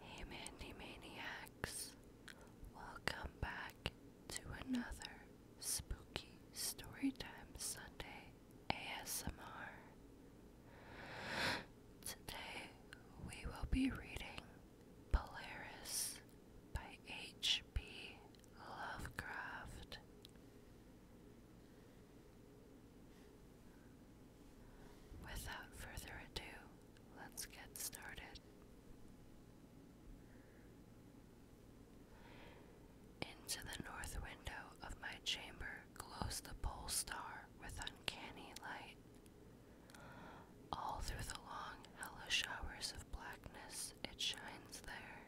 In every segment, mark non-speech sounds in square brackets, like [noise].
Hey Mandy Maniacs, welcome back to another spooky Storytime Sunday ASMR. Today we will be reading Polaris by H.P. Lovecraft. Without further ado, let's get started. Into the north window of my chamber glows the pole star with uncanny light. All through the long, hellish showers of blackness, it shines there.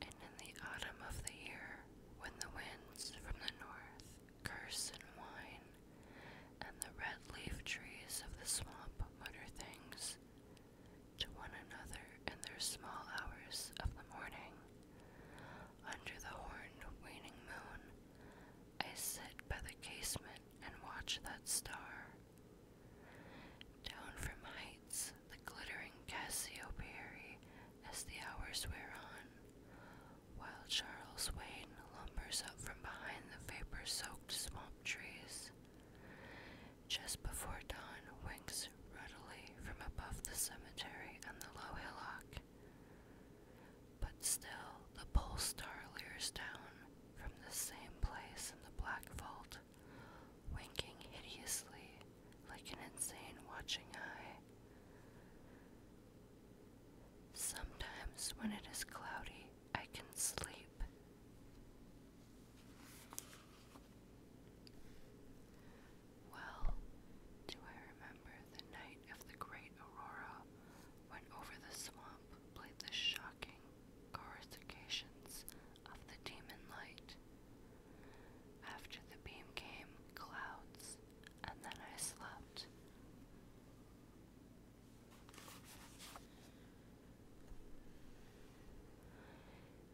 And in the autumn of the year, when the winds from the north curse and and the red leaf trees of the swamp mutter things to one another in their small hours of the morning. Under the horned waning moon, I sit by the casement and watch that star. Down from heights, the glittering Cassiopeia, as the hours wear on, while Charles Wayne lumbers up from behind the vapor soaked swamp trees. Just before dawn, winks ruddily from above the cemetery and the low hillock. But still, the pole star leers down from the same place in the black vault, winking hideously like an insane watching eye. Sometimes, when it is cloudy, I can sleep. Well, do I remember the night of the great aurora when over the swamp played the shocking coruscations of the demon light? After the beam came clouds, and then I slept.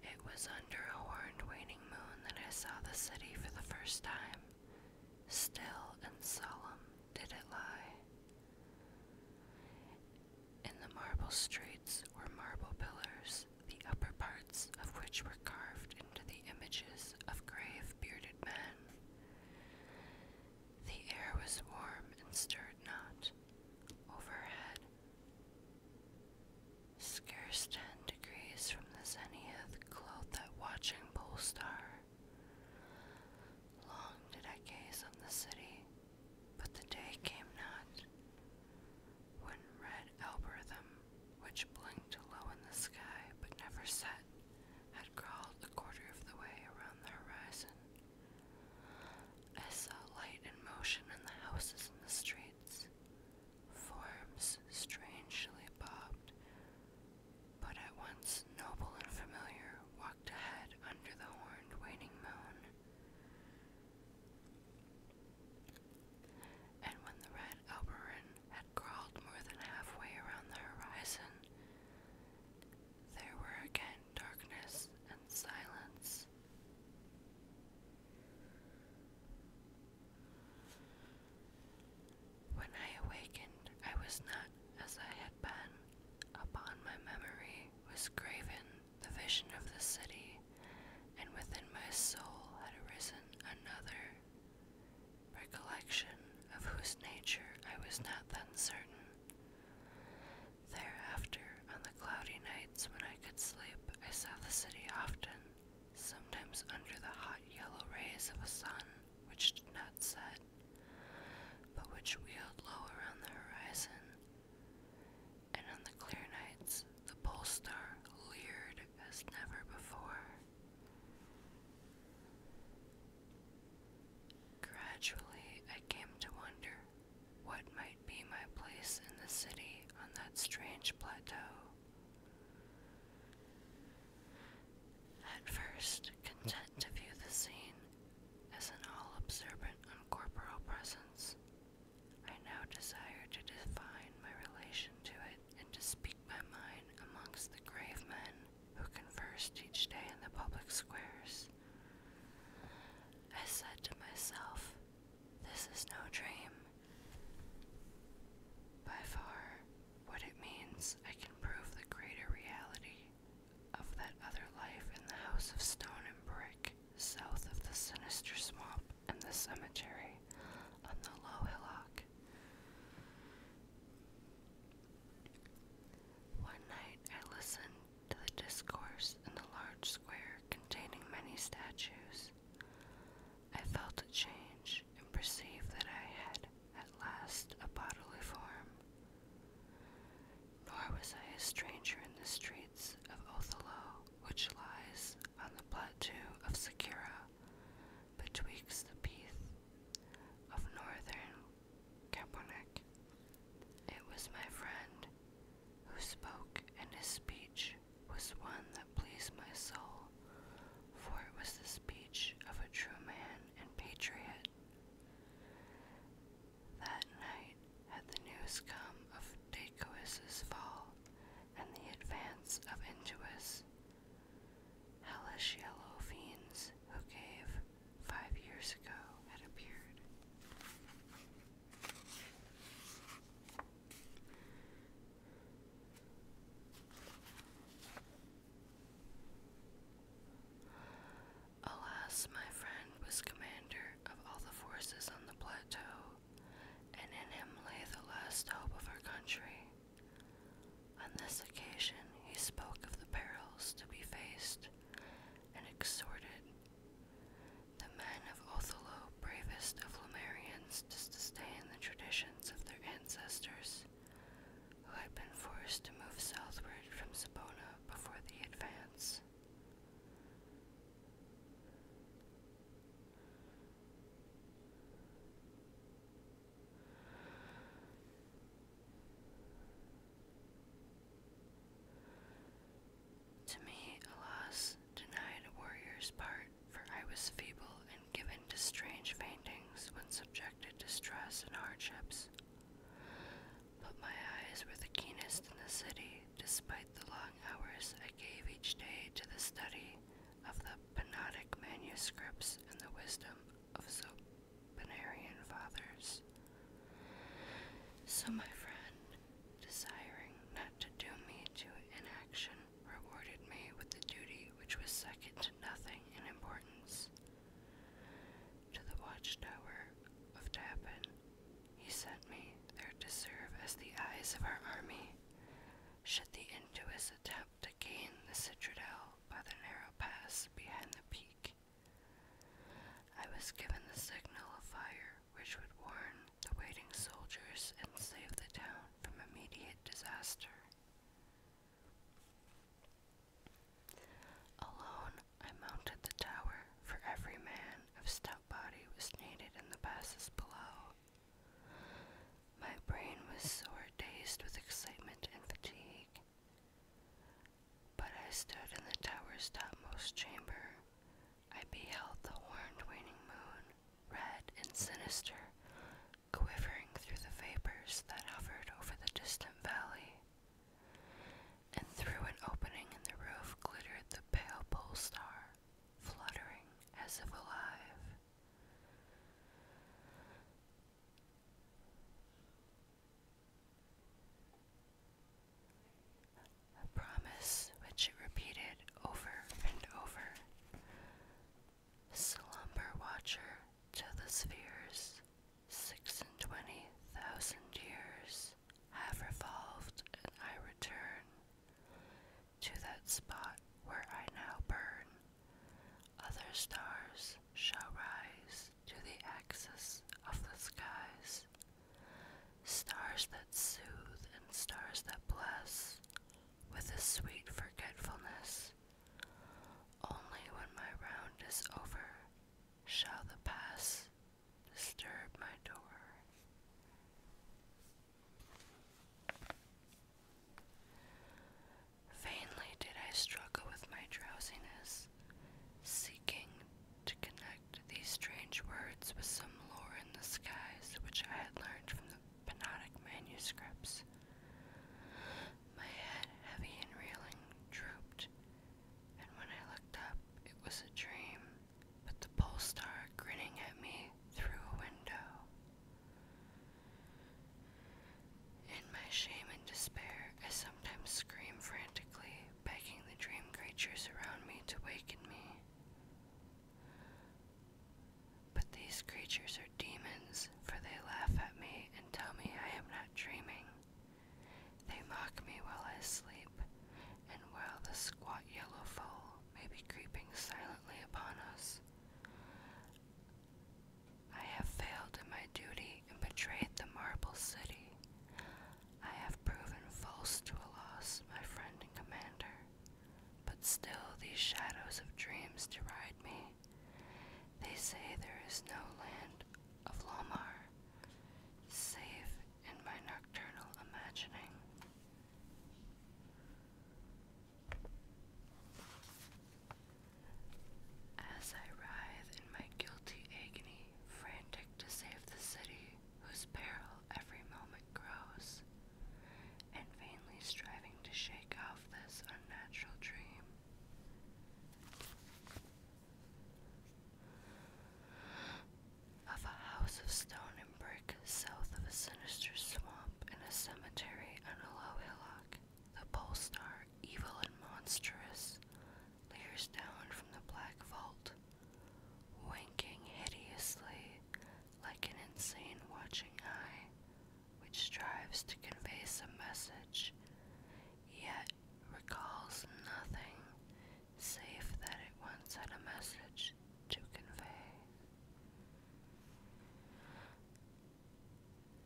It was under a horned waning moon that I saw the city for the first time. Still and solemn did it lie. In the marble streets were marble pillars, the upper parts of which were carved into the images of grave bearded men. The air was warm and stirred not. Overhead, scarce ten degrees from the zenith, glowed that watching pole star. Long did I gaze on the city, but the day came not. One red algorithm, which blinked low in the sky but never set, had crawled a quarter of the way around the horizon. I saw light and motion in the houses and the streets. Forms strangely bobbed, but at once noble and familiar walked ahead under the horned waning moon and when the red Alberin had crawled more than halfway around the horizon, there were again darkness and silence. When I awakened, I was not as I had been. Upon my memory was graven the vision of the city and within my soul had arisen another recollection of whose nature I was not then certain. Thereafter, on the cloudy nights when I could sleep, I saw the city often, sometimes under the hot yellow rays of a sun which did not set, but which wheeled low around the horizon and on the clear nights the pole star leered as never before. Gradually, I came to wonder what might be my place in the city on that strange plateau. At first, content to view the scene as an all observant, corporeal presence, I now desire to define my relation to it and to speak my mind amongst the grave men who converse each day in the public squares. I said to myself, This is no dream. By far, what it means, I can prove the greater reality of that other life in the house of stone and brick, south of the sinister swamp. In the cemetery on the low hillock. One night I listened to the discourse in the large square containing many statues. I felt a change and perceived that I had at last a bodily form. Nor was I a stranger in the streets of Othello which lies on the plateau of Sakura betwixt the peaks of northern Kaponek. It was my friend who spoke, and his speech was one that pleased my soul, for it was the speech of a true man and patriot. That night had the news come of Dacois's fall, and the advance of Intuus, hellish yellow fiends who gave five years ago had appeared. Alas, my friend was commander of all the forces on the plateau and in him lay the last hope of our country. On this occasion, he spoke of the perils to be faced and exhorted the men of Othello, bravest of Lemurians, to sustain the traditions of their ancestors, who had been forced to move southward from Sabona before the advance. To me, alas, denied a warrior's part, for I was feeble and given to strange faintings when subjected to stress and hardships. But my eyes were the keenest in the city, despite the long hours I gave each day to the study of the Panodic manuscripts and the wisdom of Sopinarian fathers. So my friend, desiring not to doom me to inaction, rewarded me with the duty which was second to nothing in importance. To the watchtower of Tappan he sent me there to serve as the eyes of our army. Should the Intuus attempt to gain the citadel by the narrow pass behind the peak, I was given the signal of fire which would warn the waiting soldiers and save the town from immediate disaster. Alone I mounted the tower, for every man of stout out body was needed in the passes below. My brain was sore, dazed with excitement and fatigue. But I stood in the tower's topmost chamber. I beheld the horned waning moon, red and sinister, quivering through the vapors that hovered over the distant valley. And through an opening in the roof glittered the pale pole star fluttering as if alive. A promise which it repeated over and over. Slumber watcher to the spheres, six and twenty thousand years have revolved, and I return to that spot where I now burn. Other stars shall rise to the axis of the skies. Stars that soothe and stars that bless with a sweet forgetfulness. Only when my round is over shall the past disturb my door. Vainly did I struggle with my drowsiness, seeking to connect these strange words with some lore in the skies which I had learned from the Panodic manuscripts. My head, heavy and reeling, drooped, and when I looked up, it was a dream. But the pole star grinning at me through a window. In my shame and despair, I sometimes scream frantically, begging the dream creatures around me to waken me. But these creatures are demons, for they laugh at me and tell me I am not dreaming. They mock me while I sleep, and while the squat yellow foal may be creeping silently upon us. I have failed in my duty and betrayed the marble city. I have proven false to a loss, my friend and commander. But still these shadows of dreams deride me. They say there is no land of Lomar, save in my nocturnal imagining. As I writhe in my guilty agony, frantic to save the city whose peril every moment grows, and vainly striving to shake off this unnatural dream. Of a house of stone and brick south of a sinister swamp and a cemetery on a low hillock, the pole star, evil and monstrous, peers down from the black vault, winking hideously like an insane watching eye, which strives to convey some message, yet recalls nothing save that it once had a message to convey.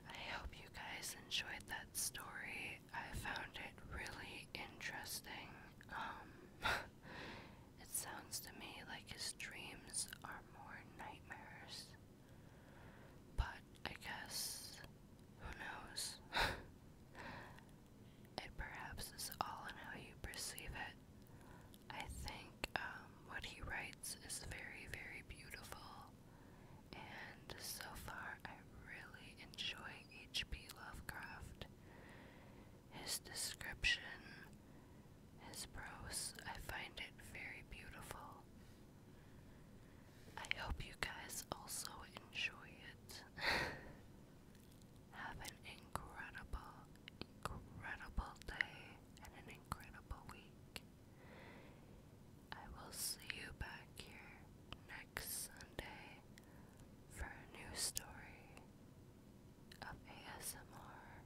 I hope you guys enjoyed that story. I found it really interesting. Um, [laughs] it sounds to me like his dreams are more nightmares. But I guess, who knows? [laughs] It perhaps is all in how you perceive it. I think um, what he writes is very, very beautiful, and so far I really enjoy H.P. Lovecraft. His description, his prose, I find it very beautiful. I hope you guys also enjoy it. [laughs] Have an incredible, incredible day and an incredible week. I will see you back here next Sunday for a new story of ASMR.